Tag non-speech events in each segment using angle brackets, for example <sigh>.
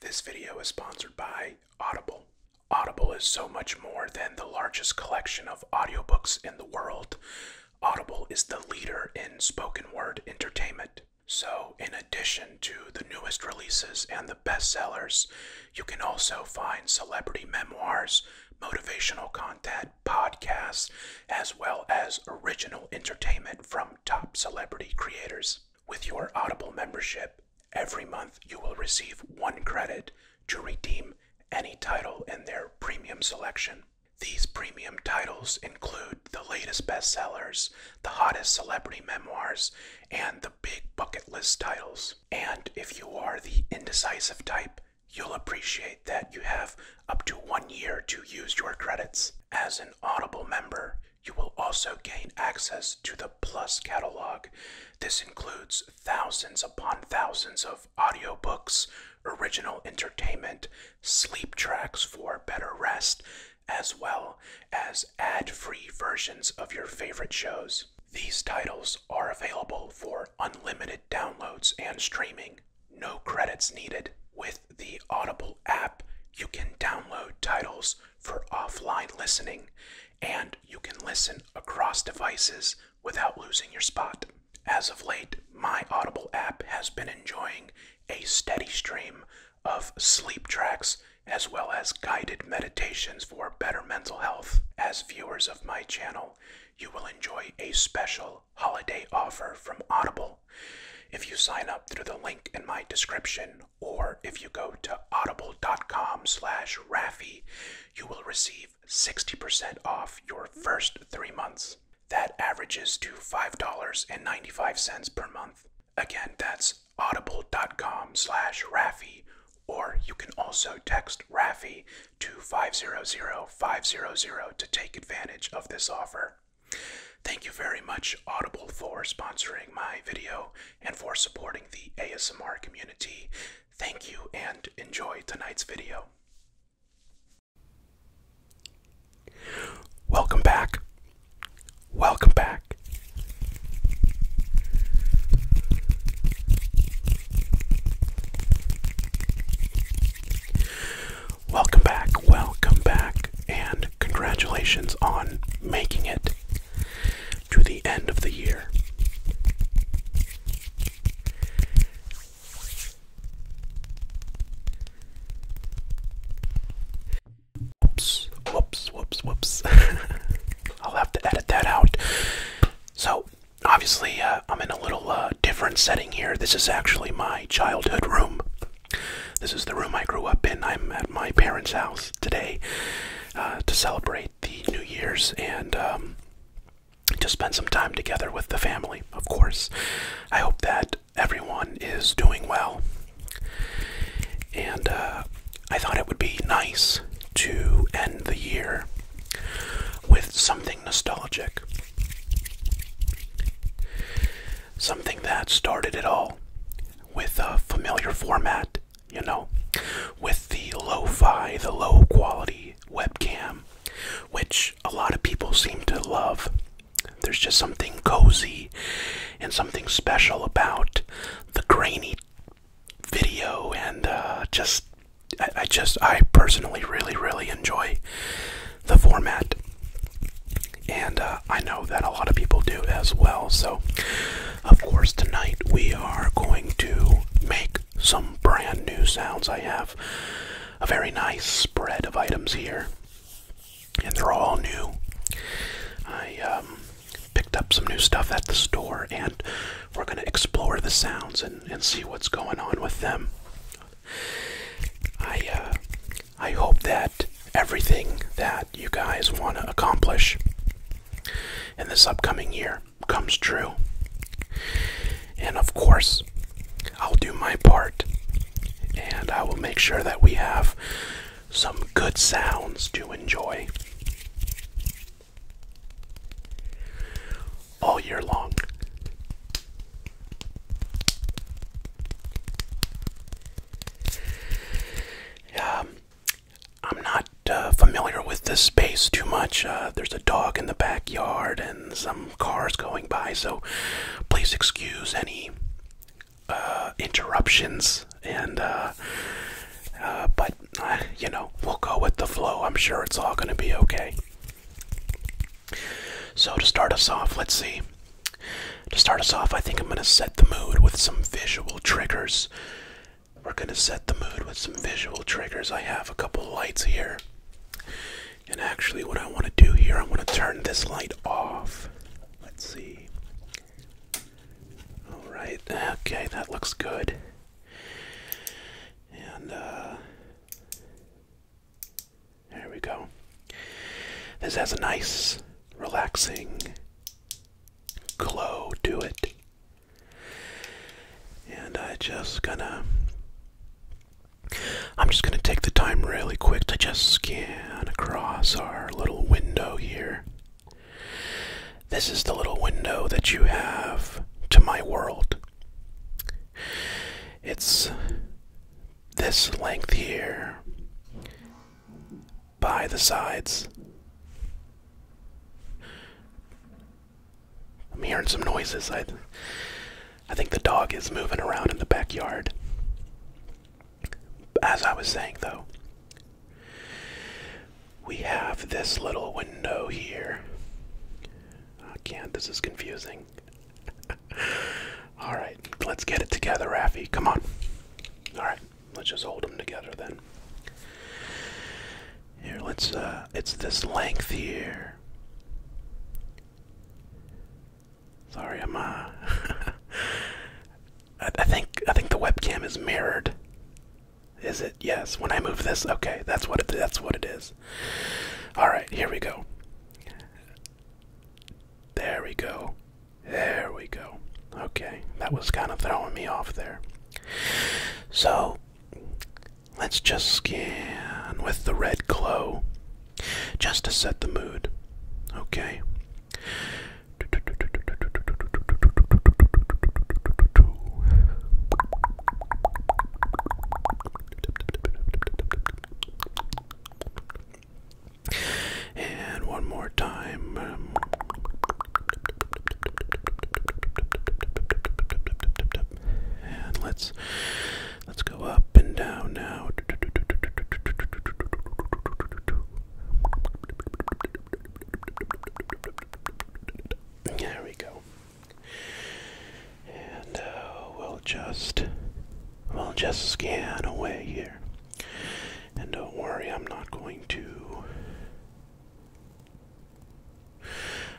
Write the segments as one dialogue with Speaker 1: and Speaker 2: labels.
Speaker 1: This video is sponsored by Audible. Audible is so much more than the largest collection of audiobooks in the world. Audible is the leader in spoken word entertainment. So, in addition to the newest releases and the bestsellers, you can also find celebrity memoirs, motivational content, podcasts, as well as original entertainment from top celebrity creators. With your Audible membership, Every month, you will receive one credit to redeem any title in their premium selection. These premium titles include the latest bestsellers, the hottest celebrity memoirs, and the big bucket list titles. And if you are the indecisive type, you'll appreciate that you have up to one year to use your credits. As an Audible member, you will also gain access to the Plus catalog. This includes thousands upon thousands of audiobooks, original entertainment, sleep tracks for better rest, as well as ad free versions of your favorite shows. These titles are available for unlimited downloads and streaming, no credits needed. With the Audible app, you can download titles for offline listening, and you can listen across devices without losing your spot. As of late, my Audible app has been enjoying a steady stream of sleep tracks as well as guided meditations for better mental health. As viewers of my channel, you will enjoy a special holiday offer from Audible. If you sign up through the link in my description or if you go to audible.com slash Rafi, you will receive 60% off your first three months. That averages to $5.95 per month. Again, that's audible.com slash Rafi, or you can also text Rafi to 500 to take advantage of this offer. Thank you very much, Audible, for sponsoring my video and for supporting the ASMR community. Thank you and enjoy tonight's video. Welcome back. Welcome back. Welcome back, welcome back, and congratulations on making it to the end of the year. Whoops, whoops, whoops, whoops. <laughs> I'll have to edit that out. So, obviously, uh, I'm in a little uh, different setting here. This is actually my childhood room. This is the room I grew up in. I'm at my parents' house today uh, to celebrate the New Year's and um, to spend some time together with the family, of course. I hope that everyone is doing well. And uh, I thought it would be nice to end the year with something nostalgic something that started it all with a familiar format, you know, with the lo fi, the low quality webcam, which a lot of people seem to love. There's just something cozy and something special about the grainy video, and uh, just I just I personally really really enjoy the format and uh, I know that a lot of people do as well. So, of course, tonight we are going to make some brand new sounds. I have a very nice spread of items here, and they're all new. I um, picked up some new stuff at the store, and we're going to explore the sounds and, and see what's going on with them. I uh, I hope that everything that you guys want to accomplish in this upcoming year comes true. And of course, I'll do my part and I will make sure that we have some good sounds to enjoy all year long. Um, I'm not uh, familiar with this space too much. Uh, there's a dog in the backyard and some cars going by, so please excuse any uh, interruptions. And but you know, we'll go with the flow. I'm sure it's all going to be okay. So to start us off, let's see. To start us off, I think I'm going to set the mood with some visual triggers. We're going to set the mood with some visual triggers. I have a couple lights here. And actually, what I want to do here, I am going to turn this light off. Let's see. Alright, okay, that looks good. And, uh, there we go. This has a nice, relaxing glow to it. And I just gonna. I'm just gonna take the time really quick to just scan across our little window here. This is the little window that you have to my world. It's this length here by the sides. I'm hearing some noises. I, I think the dog is moving around in the backyard. As I was saying, though, we have this little window here. I ah, can't, this is confusing. <laughs> Alright, let's get it together, Rafi. Come on. Alright. Let's just hold them together then. Here, let's, uh, it's this length here. Sorry, I'm, uh, <laughs> I, think, I think the webcam is mirrored. Is it? Yes. When I move this, okay, that's what it, that's what it is. All right, here we go. There we go. There we go. Okay, that was kind of throwing me off there. So, let's just scan with the red glow just to set the mood. Okay. And one more time. and let's let's go up and down now. There we go. And uh, we'll just we'll just scan away here. And don't worry, I'm not going to.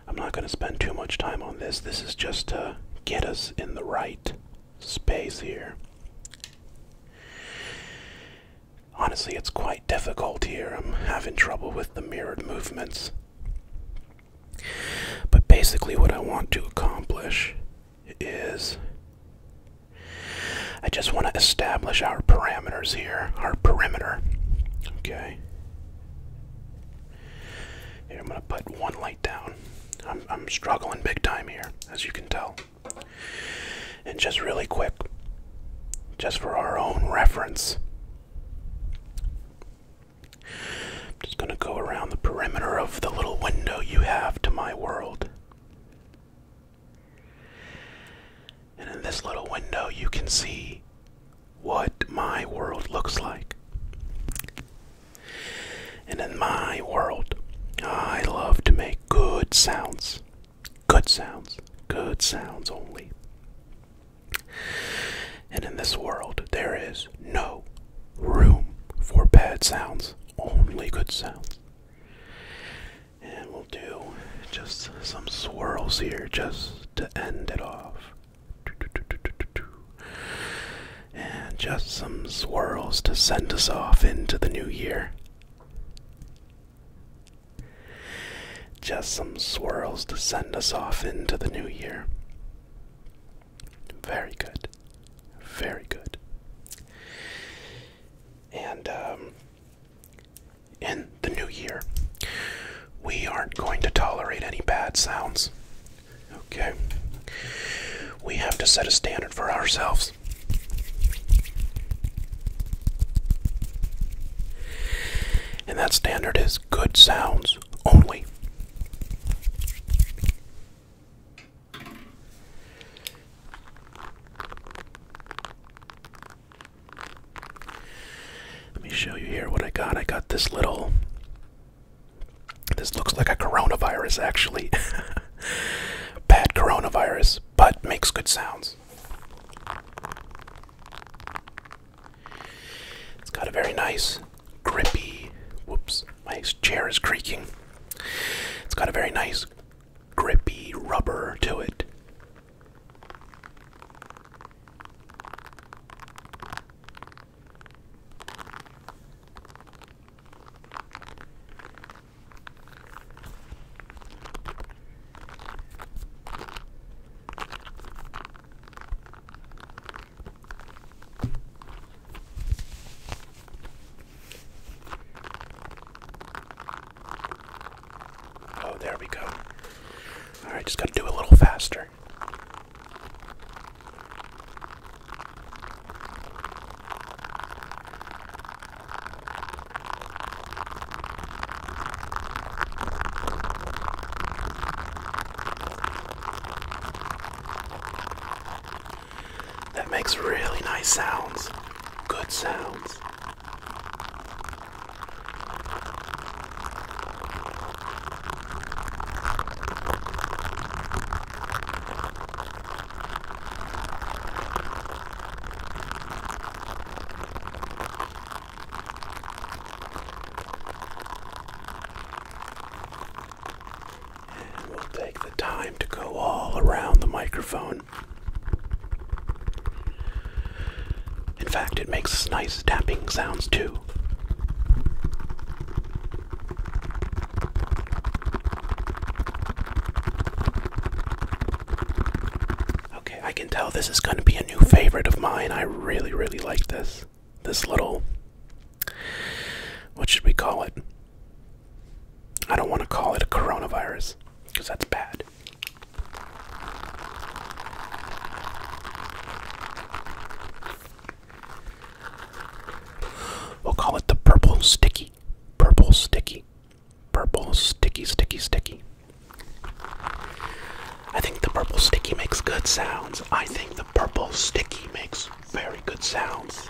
Speaker 1: I'm not going to spend too much time on this. This is just to get us in the right space here. Honestly, it's quite difficult here. I'm having trouble with the mirrored movements. But basically, what I want to accomplish is I just want to establish our parameters here, our perimeter. Okay. Here, I'm going to put one light down. I'm, I'm struggling big time here, as you can tell. And just really quick, just for our own reference, I'm just going to go around the perimeter of the little window you have to my world. And in this little window, you can see what my world looks like. And in my world, I love to make good sounds. Good sounds. Good sounds only. And in this world, there is no room for bad sounds, only good sounds. And we'll do just some swirls here just to end it off. And just some swirls to send us off into the new year. Just some swirls to send us off into the new year. Very good. Very good and um, in the new year, we aren't going to tolerate any bad sounds. Okay? We have to set a standard for ourselves. And that standard is good sounds only. Let me show you here what I got. I got this little. This looks like a coronavirus, actually. <laughs> Bad coronavirus, but makes good sounds. It's got a very nice, grippy. Whoops, my chair is creaking. It's got a very nice, grippy rubber to it. Oh, there we go. Alright, just gotta do a little faster that makes really nice sounds. Good sounds. And we'll take the time to go all around the microphone in fact, it makes nice tapping sounds too. Okay, I can tell this is going to be a new favorite of mine. I really, really like this. This little. What should we call it? I don't want to call it a coronavirus because that's bad. We'll call it the purple sticky. Purple sticky. Purple sticky, sticky, sticky. I think the purple sticky makes good sounds. I think the purple sticky makes very good sounds.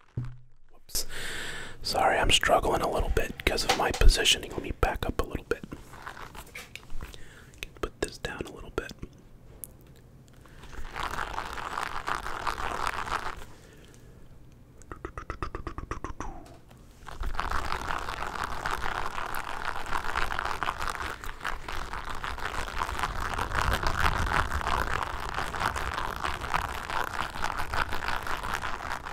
Speaker 1: Oops. Sorry, I'm struggling a little bit because of my positioning. Let me back up a little bit. Put this down a little bit.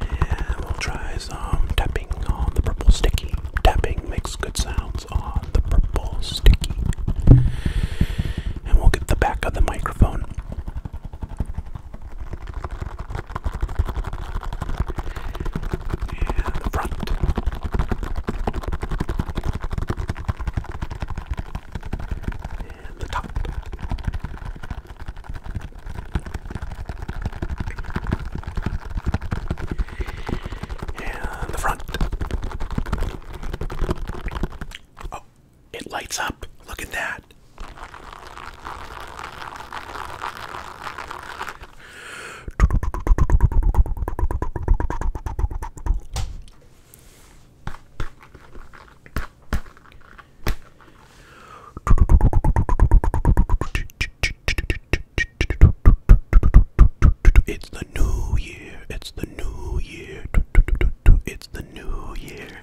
Speaker 1: And we'll try some tapping on the purple sticky. Tapping makes good sounds on the purple sticky. And we'll get the back of the microphone. And the front. And the top. And the front. Oh, it lights up. Look at that. It's the new year. It's the new year. It's the new year.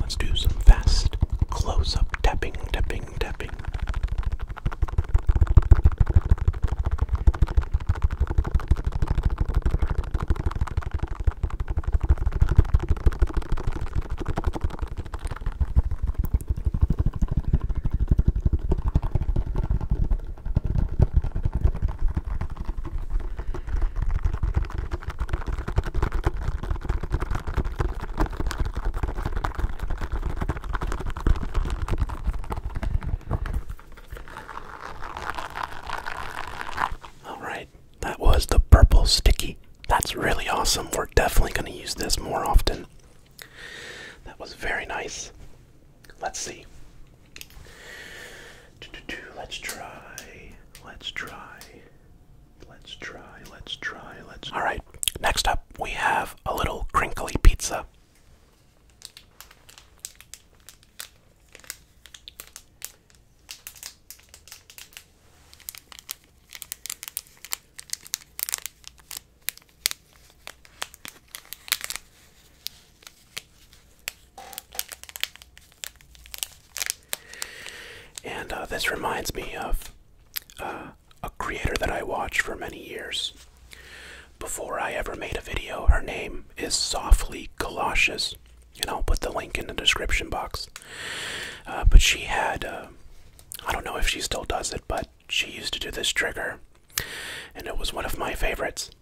Speaker 1: let's do some fast close up tapping, tapping, tapping. All right, that was the purple sticky. That's really awesome. We're definitely going to use this more often. That was very nice. Let's see. Let's try. Let's try. Let's try. Let's try. Let's. All right. Next up, we have a little crinkly pizza. And uh, this reminds me of uh, a creator that I watched for many years. Before I ever made a video, her name is Softly Galoshes, and I'll put the link in the description box. Uh, but she had, I don't know if she still does it, but she used to do this trigger, and it was one of my favorites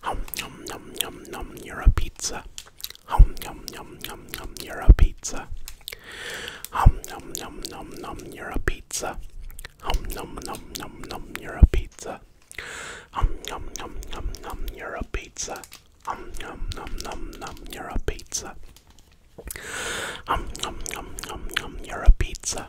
Speaker 1: Hum yum yum yum yum, you're a pizza. Hum yum yum yum yum, you're a pizza.
Speaker 2: Hum yum yum yum yum, you're a pizza. Hum yum yum yum yum, you're a pizza. Hum yum yum yum yum, you're a pizza. Hum yum yum yum yum, you're a pizza.
Speaker 1: Hum yum yum yum yum, you're a pizza.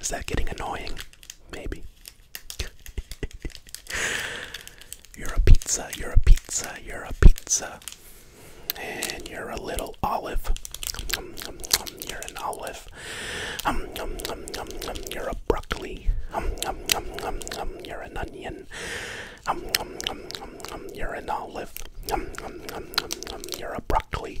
Speaker 1: Is that getting annoying? Maybe. you're a pizza, you're a pizza, you're a pizza. And you're a little olive. you're an olive. you're a broccoli. you're an onion. you're an olive. you're a broccoli.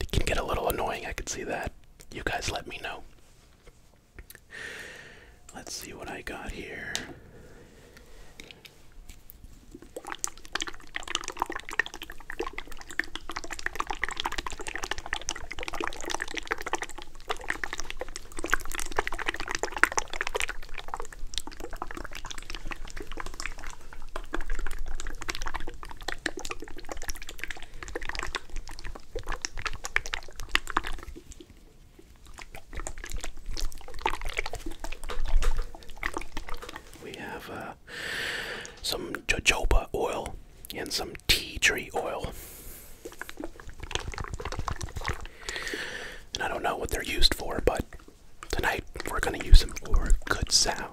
Speaker 1: It can get a little annoying, I could see that. You guys let me know. Let's see what I got here. We have uh, some jojoba oil and some tea tree oil. And I don't know what they're used for, but tonight we're going to use them for good sound.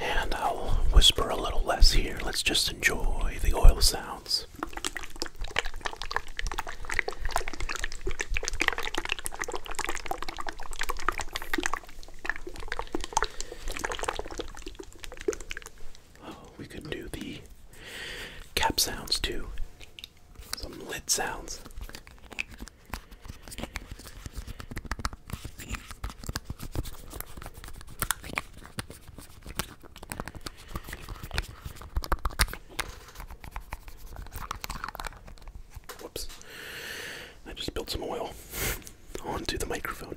Speaker 1: And I'll whisper a little less here. Let's just enjoy the oil sounds. Oh, we could do the cap sounds too. Some lit sounds. Whoops. I just spilled some oil <laughs> onto the microphone.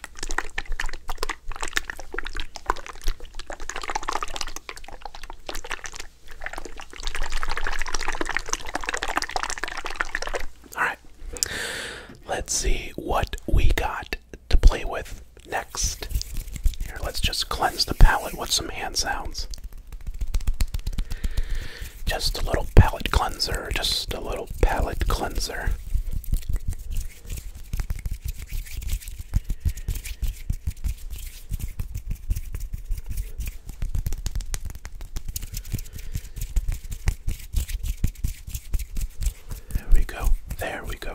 Speaker 1: All right. Let's see what we got to play with next. Here, let's just cleanse the palette with some hand sounds. Just a little palette cleanser, just a little palette cleanser. There we go. There we go.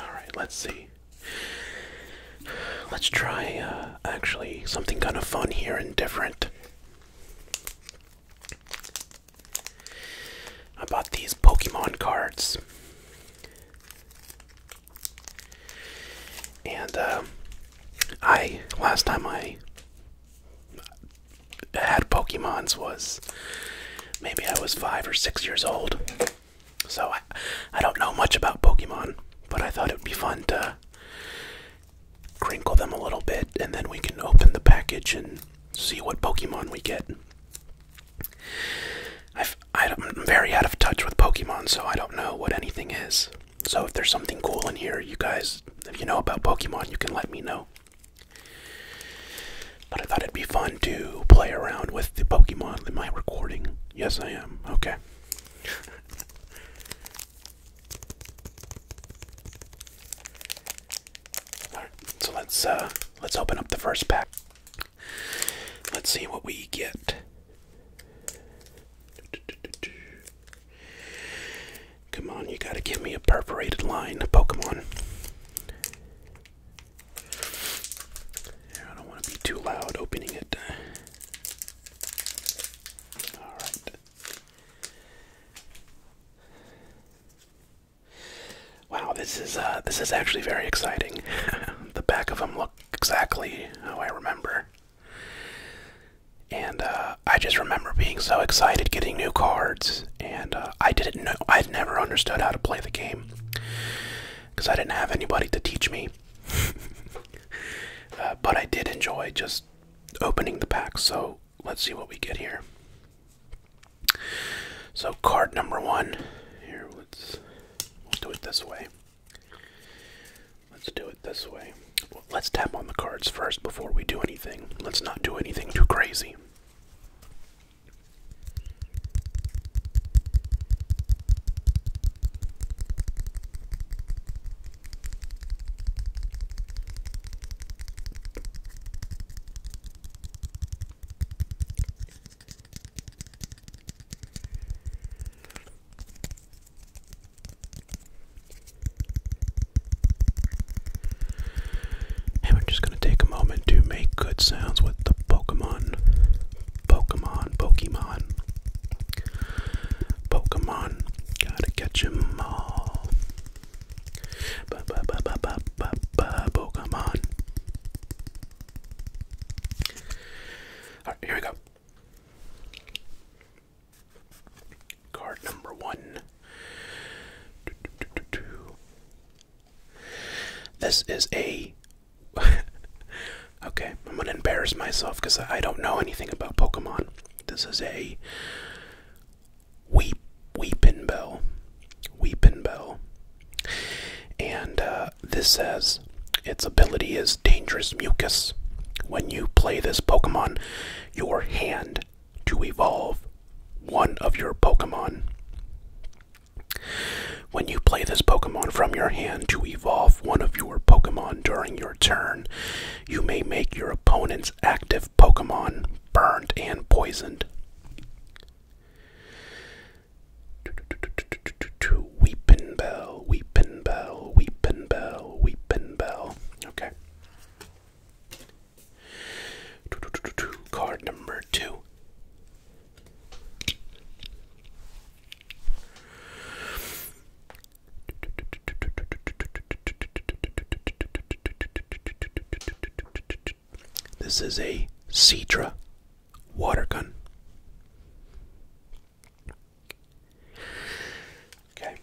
Speaker 1: All right, let's see. Let's try uh, actually something kind of fun here and different. I bought these Pokemon cards. And um, I, last time I had Pokemons was maybe I was five or six years old. So I, I don't know much about Pokemon, but I thought it would be fun to crinkle them a little bit, and then we can open the package and see what Pokemon we get. i am very out of touch with Pokemon, so I don't know what anything is. So if there's something cool in here, you guys, if you know about Pokemon, you can let me know. But I thought it'd be fun to play around with the Pokemon in my recording. Yes, I am. Okay. All right, so let's uh, let's open up the first pack. Let's see what we get. Come on, you gotta give me a perforated line, Pokemon. I don't want to be too loud opening it. Wow, this is uh, this is actually very exciting. <laughs> the back of them look exactly how I remember, and uh, I just remember being so excited getting new cards, and uh, I didn't know I'd never understood how to play the game because I didn't have anybody to teach me. <laughs> Uh, but I did enjoy just opening the pack, so let's see what we get here. So, card number one. Here, let's do it this way. Let's do it this way. let's tap on the cards first before we do anything. Let's not do anything too crazy. And we just going to take a moment to make good sounds with the Pokemon, Pokemon, Pokemon Pokemon. Gotta catch 'em all. Ba ba ba ba ba ba ba Pokemon. here we go. Card number one. This is a <laughs> Okay, I'm gonna embarrass myself because I don't know anything about Pokemon. This is a weep weepin' bell. Weepin' bell. And uh, this says its ability is dangerous mucus. When you play this Pokemon, your hand to evolve one of your Pokemon. When you play this Pokemon from your hand to evolve one of your Pokemon during your turn, you may make your opponent's active Pokemon burned and poisoned. Weepin' Bell, Weepin' Bell, Weepin' Bell, Weepin' Bell. Okay. Card number two. This is a Cedra water gun. Okay.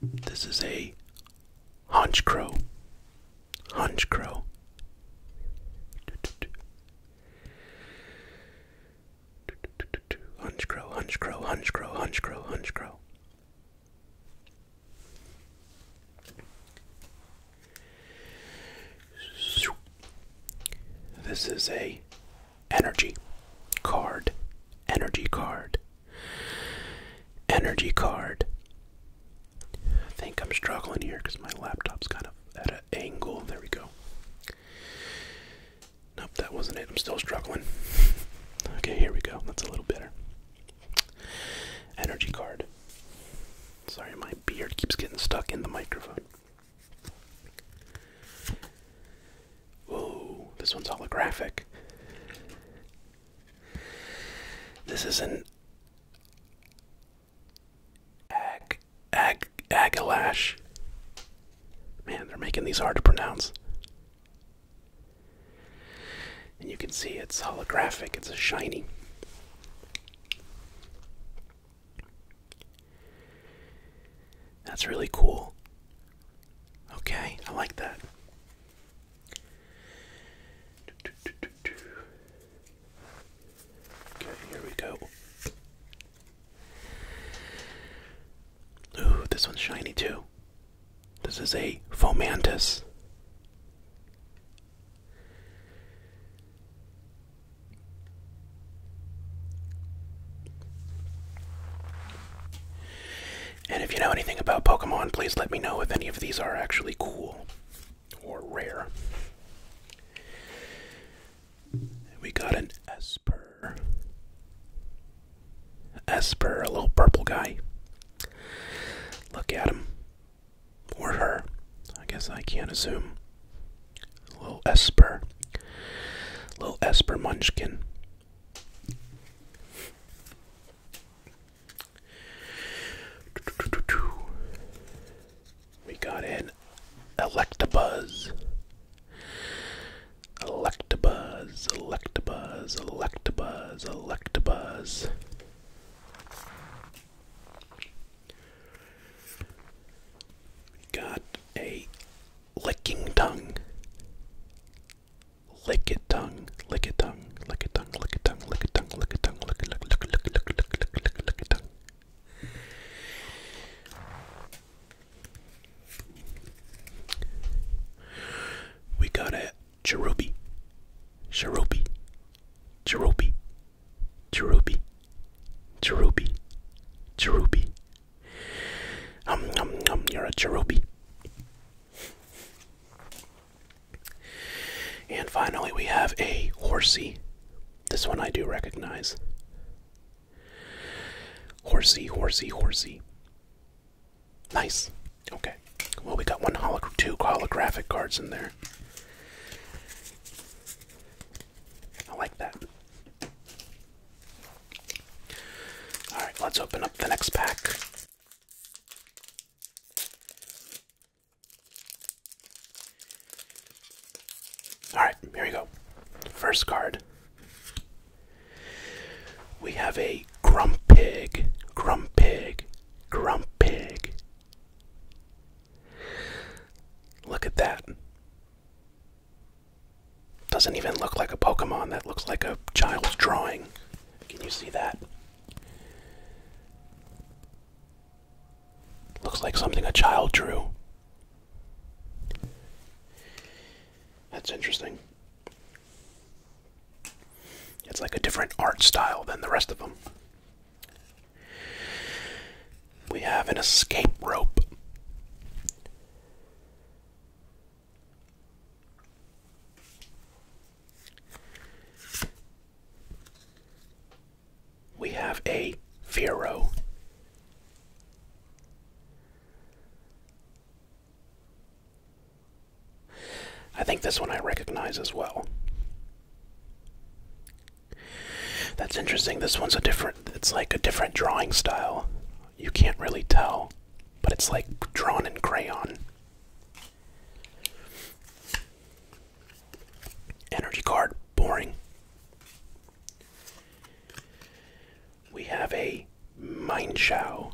Speaker 1: This is a Honch Crow Hunch Hunch crow. crow. Hunch crow. Hunch crow. Hunch crow. This is a energy card, energy card, energy card, I think I'm struggling here because my laptop's kind of at an angle. There we go. Nope, that wasn't it. I'm still struggling. <laughs> Okay, here we go. That's a little better. Energy card. Sorry, my beard keeps getting stuck in the microphone. Whoa, this one's holographic. This is an Ag, Ag, Agalash. Man, they're making these hard to pronounce. And you can see it's holographic, it's a shiny. That's really cool. Okay, I like that. Okay, here we go. Ooh, this one's shiny too. This is a Fomantis. And if you know anything about Pokemon, please let me know if any of these are actually cool or rare. We got an Esper. Esper, a little purple guy. Look at him. Or her. I guess I can't assume. Little Esper. Little Esper Munchkin. We got an Electabuzz. Electabuzz, Electabuzz, Electabuzz, Electabuzz. We got a licking tongue. Lick it tongue, lick it tongue, tongue, lick tongue, lick tongue, lick tongue, lick a tongue, lick a lick lick tongue. We got a cherubi, cherubi, cherubi, cherubi, cherubi, cherubi. Um, um, um, you're a cherubi. And finally, we have a horsey. This one I do recognize. Horsey, horsey, horsey. Nice. Okay. Well, we got one two holographic cards in there. I like that. All right, let's open up the next pack. All right, here we go. First card. We have a Grumpig, Grumpig, Grumpig. Look at that. Doesn't even look like a Pokemon. That looks like a child's drawing. Can you see that? Looks like something a child drew. That's interesting. It's like a different art style than the rest of them. We have an escape rope. We have a Firo. I think this one I recognize as well. That's interesting. This one's a different,
Speaker 2: it's like a different drawing style. You can't really tell, but it's like drawn
Speaker 1: in crayon. Energy card, boring. We have a Mindshow.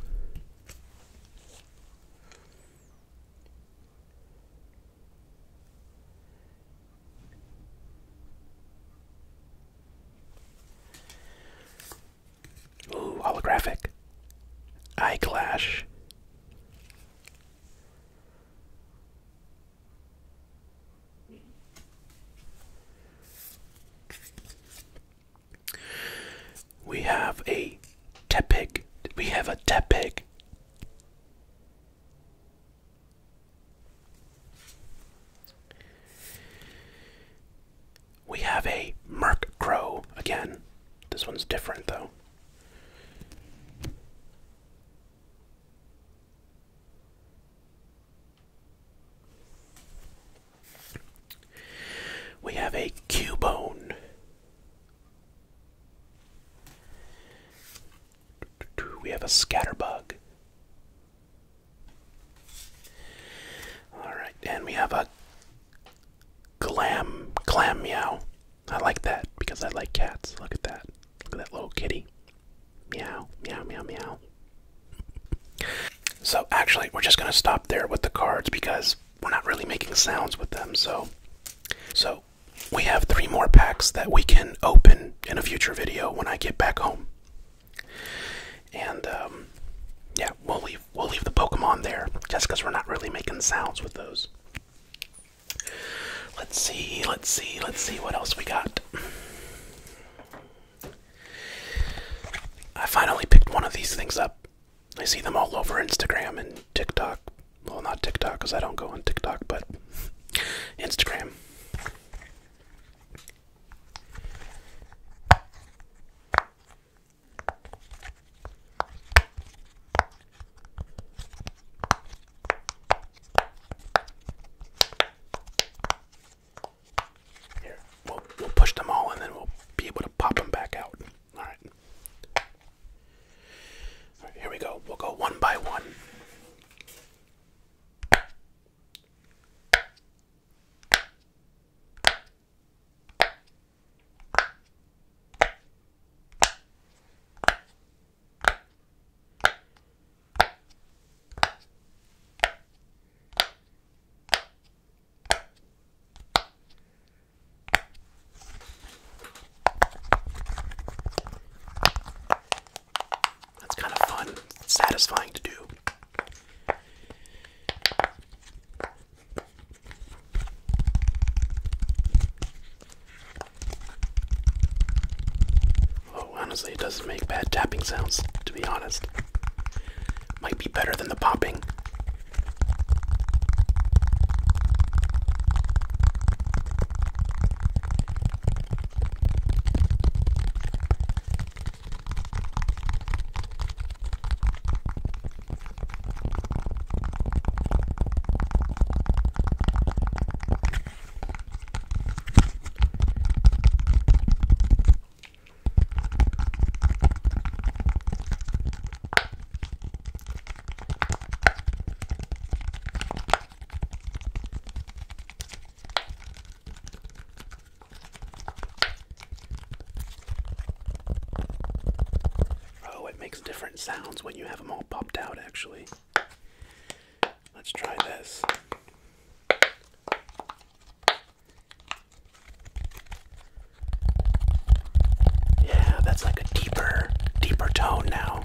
Speaker 1: Ooh, holographic. Eye Clash. We have a Tepig. We have a Tepig. We have a Merc Crow again. This one's different though. We have a bone. We have a Scatterbug. All right, and we have a Glam Glam Meow. I like that because I like cats. Look at that. Look at that little kitty. Meow, meow, meow, meow. So, actually, we're just going to stop there with the cards because we're not really making sounds with them. So, so we have three more packs that we can open in a future video when I get back home. And um, yeah, we'll leave we'll leave the Pokemon there just because we're not really making sounds with those. Let's see, let's see, let's see what else we got. I finally picked one of these things up. I see them all over Instagram and TikTok. Well, not TikTok because I don't go on TikTok, but Instagram. Here, we'll, push them all and then we'll be able to pop them back out. All right, here we go. We'll go one by one. That's kind of fun, satisfying to do. Oh, honestly, it doesn't make bad tapping sounds, to be honest. Might be better than the popping. Oh, it makes different sounds when you have them all popped out actually. Let's try this. Yeah, that's like a deeper, deeper tone now.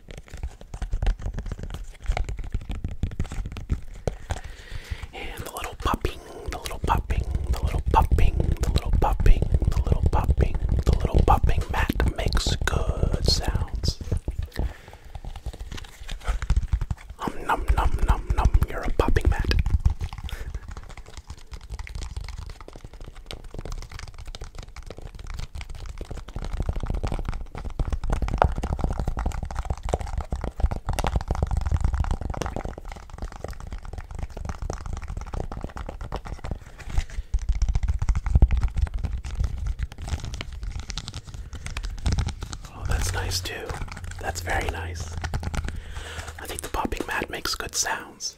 Speaker 1: And the little popping, the little popping, the little popping, the little popping, the little popping, the little popping mat makes good sounds. Um num num num num, you're a popping mat. Oh, that's nice too. That's very nice. I think the popping mat makes good sounds.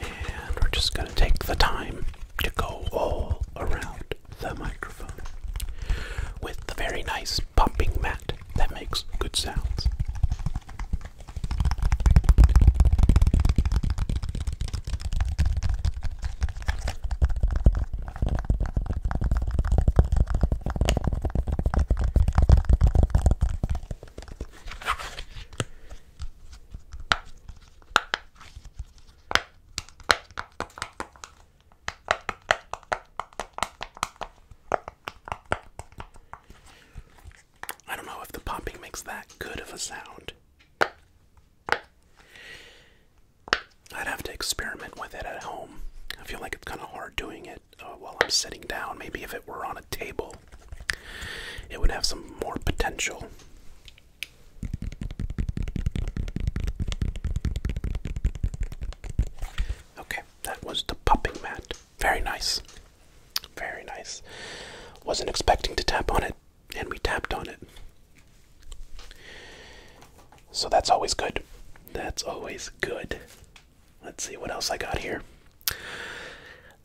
Speaker 1: And we're just going to take the time to go all around the microphone with the very nice pumping mat that makes good sounds. I don't know if the popping makes that good of a sound. I'd have to experiment with it at home. I feel like it's kind of hard doing it uh, while I'm sitting down. Maybe if it were on a table, it would have some more potential. Okay, that was the popping mat. Very nice. Very nice. Wasn't expecting to tap on it, and we tapped on it. So that's always good. That's always good. Let's see what else I got here.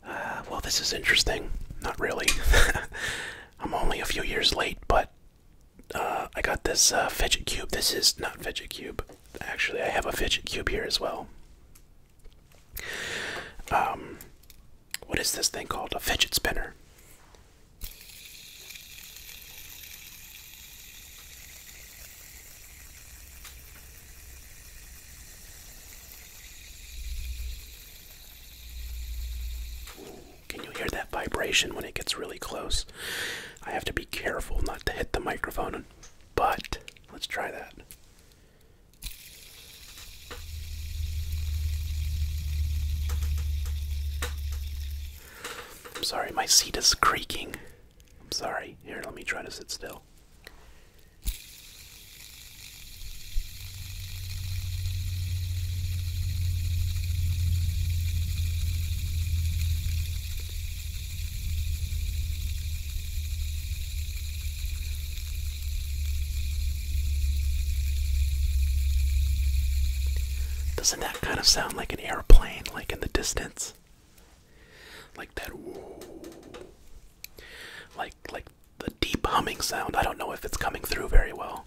Speaker 1: Uh, well, this is interesting. Not really. <laughs> I'm only a few years late, but uh, I got this uh, fidget cube. This is not fidget cube. Actually, I have a fidget cube here as well. Um, what is this thing called? A fidget spinner. Can you hear that vibration when it gets really close? I have to be careful not to hit the microphone, but let's try that. sorry, my seat is creaking. I'm sorry. Here, let me try to sit still. Doesn't that kind of sound like an airplane, like in the distance? Like that whoa. Like like the deep humming sound. I don't know if it's coming through very well.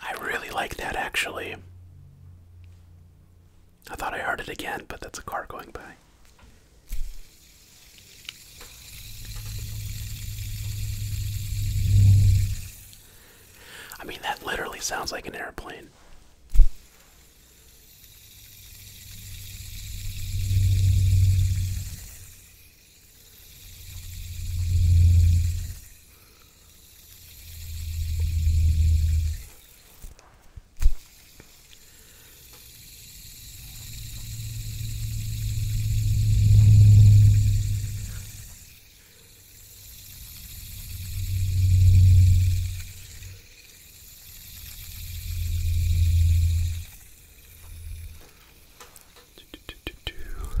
Speaker 1: I really like that actually. I thought I heard it again, but that's a car going by. I mean, that literally sounds like an airplane. Do, do, do, do, do.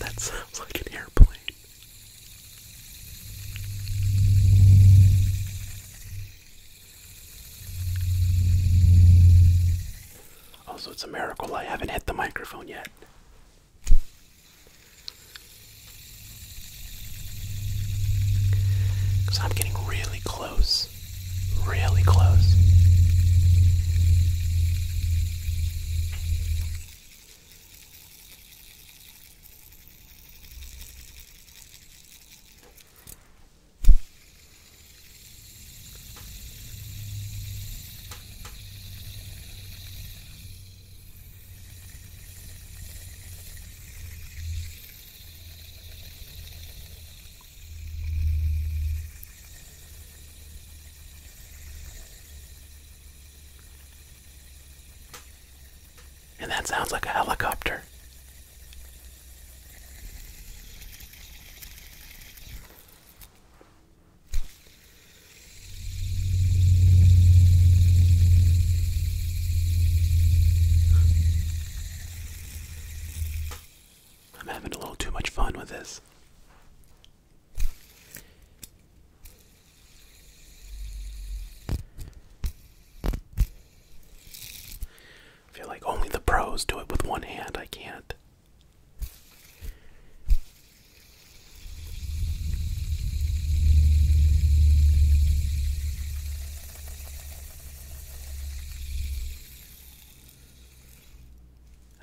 Speaker 1: That sounds like an airplane. Also, it's a miracle I haven't hit the microphone yet. Because I'm getting really close. Really close. And that sounds like a helicopter. I'm having a little too much fun with this. I feel like only the pros do it with one hand. I can't.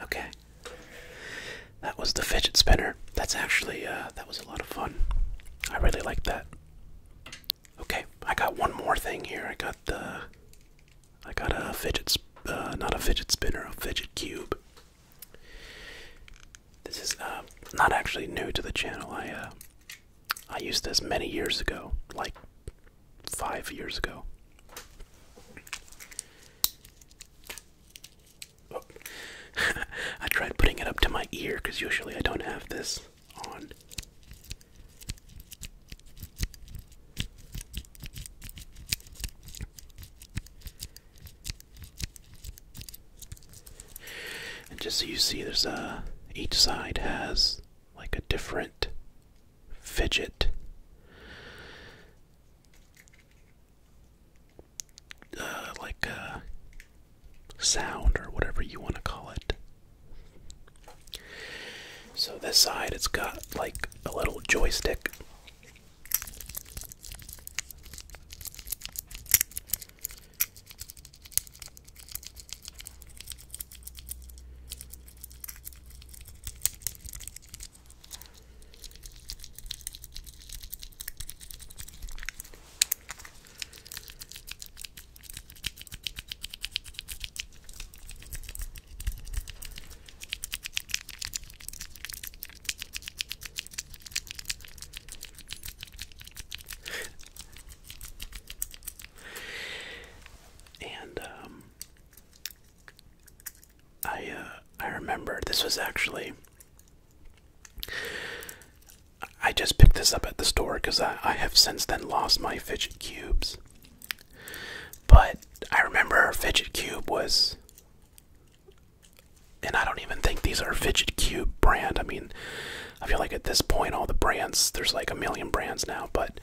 Speaker 1: Okay. That was the fidget spinner. That's actually uh, that was a lot of fun. I really like that. Okay, I got one more thing here. I got the. I got a fidget. Uh, not a fidget spinner, a fidget cube. This is uh, not actually new to the channel. I uh, I used this many years ago, like five years ago. <laughs> I tried putting it up to my ear because usually I don't have this on. And just so you see, there's a each side has like a different fidget uh, like a uh, sound or whatever you want to call it so this side, it's got like a little joystick and um, I uh, I remember this was actually I just picked this up at the store because I, I have since then lost my fidget cubes.
Speaker 2: But I remember fidget cube was,
Speaker 1: and I don't even think these are fidget cube brand. I mean, I feel like at this point all the brands there's like a million brands now, but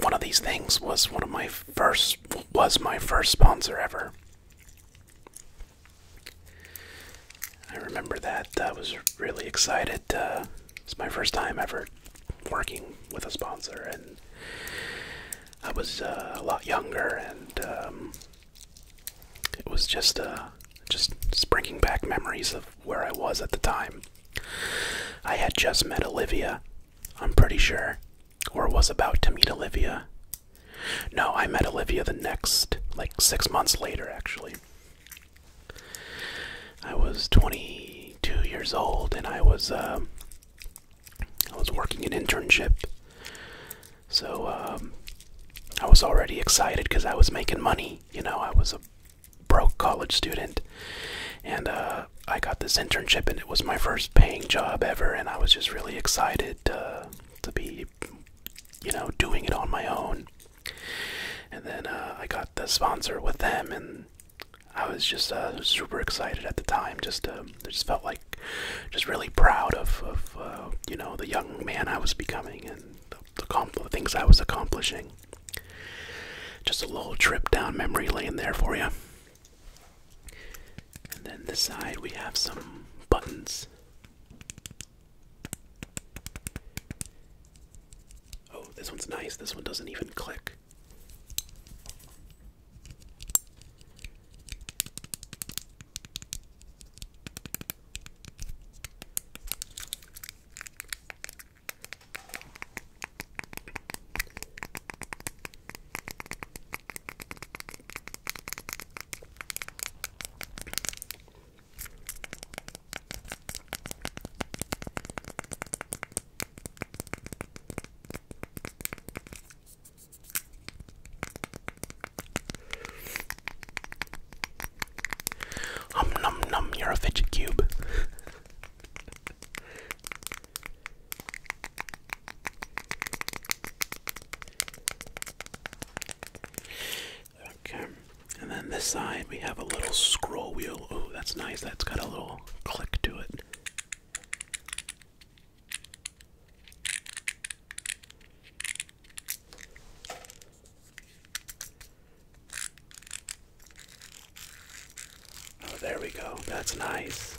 Speaker 1: one of these things was one of my first was my first sponsor ever. I remember that. I was really excited. Uh, it's my first time ever working with a sponsor, and I was uh, a lot younger, and um, it was just uh, just bringing back memories of where I was at the time. I had just met Olivia, I'm pretty sure, or was about to meet Olivia. No, I met Olivia the next, like six months later, actually. I was 22 years old, and I was uh, I was working an internship.
Speaker 2: So um, I was already excited because I was making money. You know, I was a broke college student, and uh, I got this internship, and it was my first
Speaker 1: paying job ever,
Speaker 2: and I was just really excited uh, to be, you know, doing it on my own. And then uh, I got the sponsor with them, and I was
Speaker 1: just uh, super excited at the time. Just, um, just felt like, just really proud of, of uh, you know, the young man I was becoming and the, the things I was accomplishing. Just a little trip down memory lane there for you. And then this side we have some buttons. Oh, this one's nice. This one doesn't even click. Um num num, you're a fidget cube. Okay. And then this side we have a little scroll wheel. Oh, that's nice. That's got a little click to it. Oh, there we go. That's nice.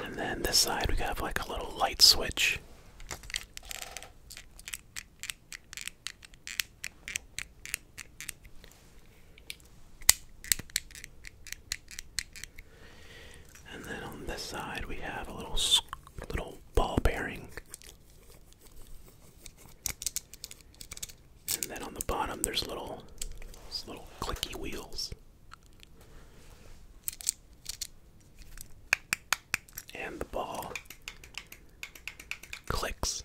Speaker 1: And then this side, we have like a little light switch. And then on this side we have a little little ball bearing. And then on the bottom there's little little clicky wheels. And the ball clicks.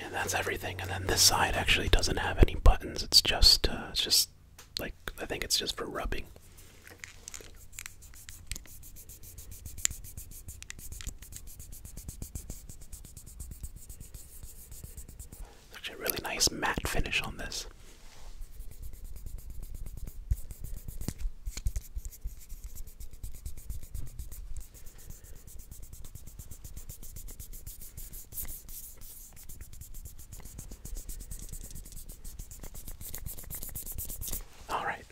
Speaker 1: And that's everything. And then this side actually doesn't have any buttons. It's just, uh, it's just like I think it's just for rubbing. Actually, really nice matte finish on this. All right.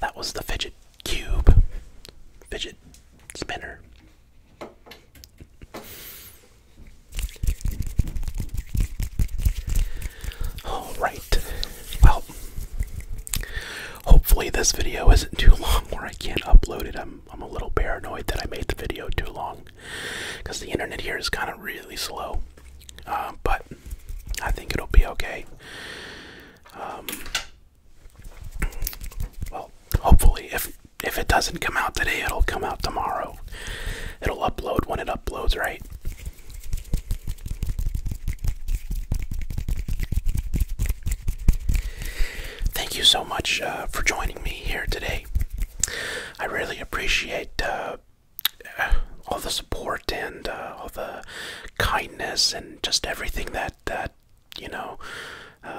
Speaker 1: That was the fidget cube. Fidget spinner. All right. Well, hopefully this video isn't too long where I can't upload it. I'm I'm a little paranoid that I made the video too long because the internet here is kind of really slow. Uh, but I think it'll be okay. Um, well, hopefully, if if it doesn't come out today, it'll come out tomorrow it'll upload when it uploads, right? Thank you so much uh, for joining me here today. I really appreciate uh,
Speaker 2: all the support and uh, all the kindness and just everything
Speaker 1: that that you know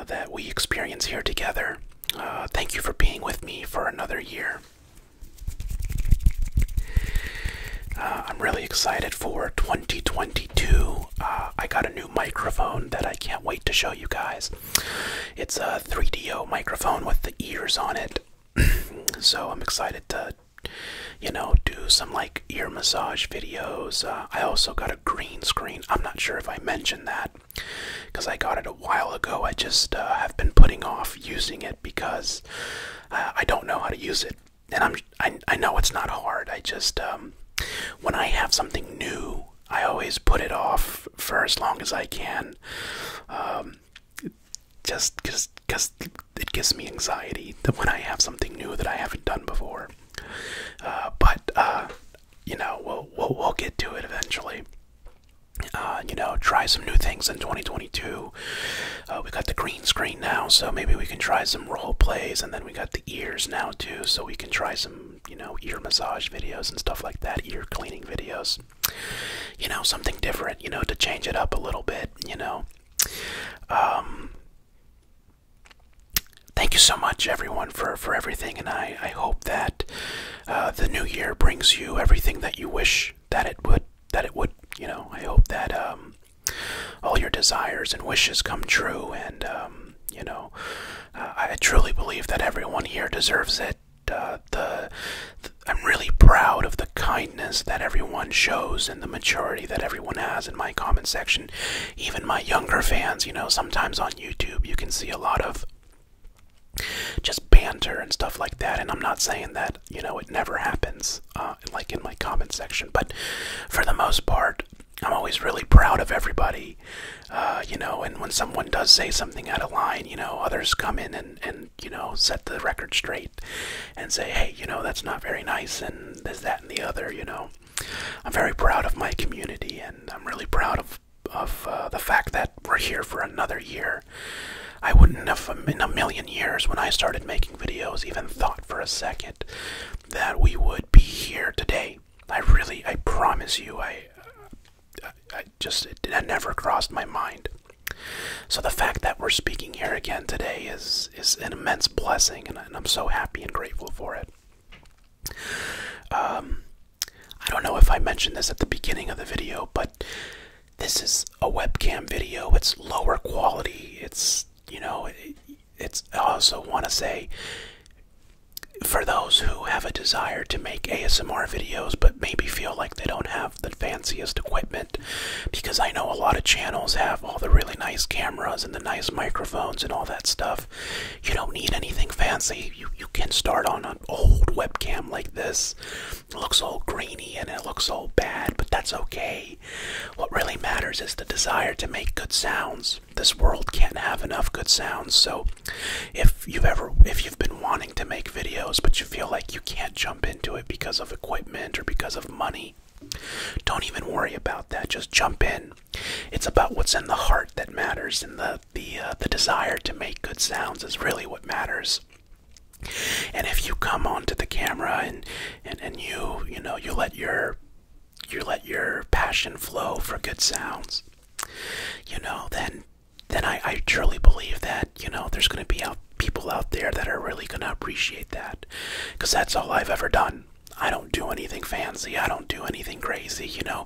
Speaker 1: that we experience here together. thank you for being with me for another year. Uh, I'm really excited for 2022. Uh, I got a new microphone that I can't wait to show you guys. It's a 3DO microphone with the ears on it. <clears throat> so I'm excited to, you know, do some like ear massage videos. Uh, I also got a green screen. I'm not sure if I mentioned that because I got it a while ago. I just have been putting off using it because uh, I don't know how to use it. And I'm I, I know it's not hard. I just um, when I have something new, I always put it off for as long as I can. Um, just because it gives me anxiety that when I have something new that I haven't done before. Uh, but uh, you know, we'll we'll get to it eventually. Uh, you know, try some new things in 2022. Uh, we got the green screen now, so maybe we can try some role plays, and then we got the ears now too, so we can try some, you know, ear massage videos and stuff like that, ear cleaning videos. You know, something different, you know, to change it up a little bit, you know. Um, thank you so much, everyone, for, for everything, and I, I hope that uh, the new year brings you everything that
Speaker 2: you wish that it would that it would you know i hope that um, all your
Speaker 1: desires and wishes come true and um, you know uh, i truly believe that everyone here deserves it uh, the i'm really proud of the kindness that everyone shows and the maturity that everyone has in my comment section even my younger fans you know sometimes on youtube you can see a lot of just banter and stuff like that. And I'm not saying that, you know, it never happens, uh, like in my comment section, but for the most part, I'm always really proud of everybody, uh, you know, and when someone does say something out of line, you know, others come in and, and, you know, set the record straight and say, hey, you know, that's not very nice and there's that and the other, you know. I'm very proud of my community and I'm really proud of, of uh, the fact that we're here for another year I wouldn't have, in a million years, when I started making videos, even thought for a second that we would be here today. I really, I promise you, I, I, just, it, never crossed my mind. So the fact that we're speaking here again today is is an immense blessing, and I'm so happy and grateful for it. Um, I don't know if I mentioned this at the beginning of the video, but this is a webcam video. It's lower quality. It's, you know, it's, I also want to say for those who have a desire to make ASMR videos but maybe feel like they don't have the fanciest equipment, because I know a lot of channels have all the really nice cameras and the nice microphones and all that stuff. You don't need anything fancy. You, you can start on an old webcam like this. It looks all grainy and
Speaker 2: it looks all bad, but that's okay. What really matters is the desire to make good
Speaker 1: sounds. This world can't have enough good sounds, so if you've ever if you've been wanting to make videos but you feel like you can't jump into it because of equipment or because of money, don't even worry about that. Just jump in. It's about what's in the heart that matters, and the the uh, the desire to make good sounds is really what matters. And if you come onto the camera and and you you know you let your you let your passion flow for good sounds, you know then then I I truly believe that you know there's gonna be out people out there that are really gonna appreciate that, because that's all I've ever done. I don't do anything fancy. I don't do anything crazy. You know,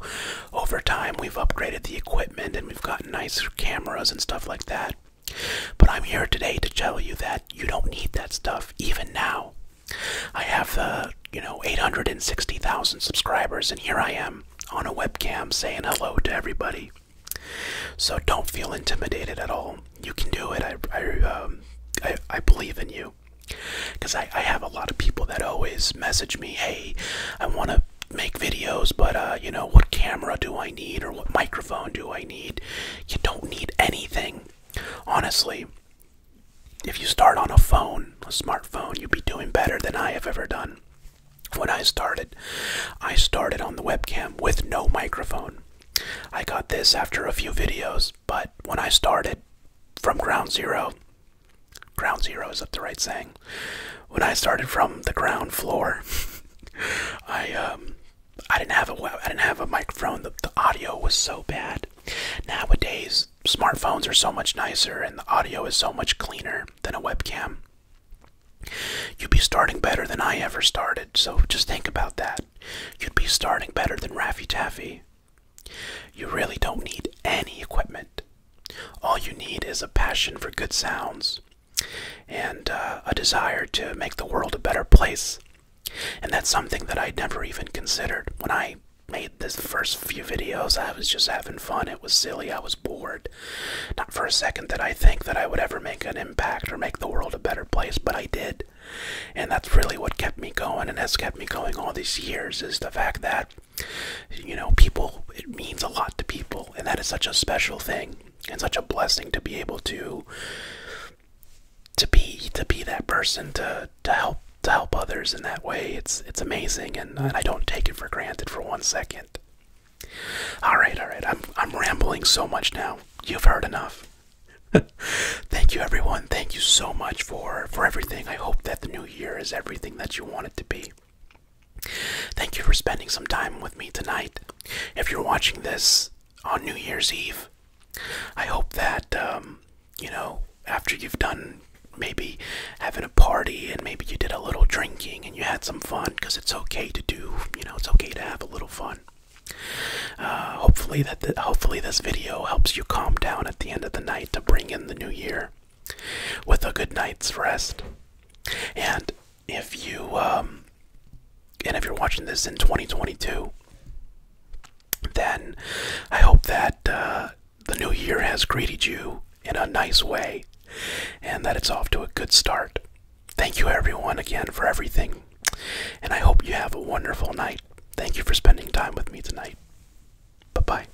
Speaker 1: over time we've upgraded the equipment and we've got nice cameras and stuff like that. But I'm here today to tell you that you don't need that stuff even now. I have the, uh, you know, 860,000 subscribers and here I am on a webcam saying hello to everybody. So don't feel intimidated at all. You can do it. I I um, I, I believe in you. Cuz I I have a lot of people that always message me, "Hey, I want to make videos, but uh, you know, what camera do I need or what microphone do I need? You don't need
Speaker 2: anything. Honestly, if you start on a phone, a
Speaker 1: smartphone, you'd be doing better than I have ever done. When I started, I started on the webcam with no microphone. I got this after a few videos, but when I started from ground zero, ground zero is up the right saying. When I started from the ground floor, <laughs> I um, I didn't have a I didn't have a microphone. The, the audio was so bad. Nowadays, smartphones are so much nicer, and the audio is so much cleaner than a webcam. You'd be starting better than I ever started, so just think about that. You'd be starting better than Raffy Taffy. You really don't need any equipment. All you need is a passion for good sounds and uh, a desire to make the world a better place. And that's something that I'd never even considered. When I made the first few videos, I was just having fun. It was silly. I was bored.
Speaker 2: Not for a second did I think that I would ever make an impact or make the world a better place, but I did.
Speaker 1: And that's really what kept me going and has kept me going all these years is the fact that, you know, people, it means a lot to people. And that is such a special thing. It's such a blessing to be able to to be to be that person to to help to help others in that way. It's it's amazing, and, and I don't take it for granted for one second. All right, all right. I'm I'm rambling so much now. You've heard enough. <laughs> Thank you, everyone. Thank you so much for for everything. I hope that the new year is everything that you want it to be. Thank you for spending some time with me tonight. If you're watching this on New Year's Eve, I hope that, um, you know, after you've done maybe having a party and maybe you did a little drinking and you had some fun, because it's okay to do, you know, it's okay to have a little fun. Uh, hopefully that hopefully this video helps you calm down at the end of the night to bring in the new year with a good night's rest. And if you um, and if you're watching this in 2022 then i hope that uh, the new year has greeted you in a nice way and that it's off to a good start thank you everyone again for everything and i hope you have a wonderful night thank you for spending
Speaker 2: time with me tonight bye bye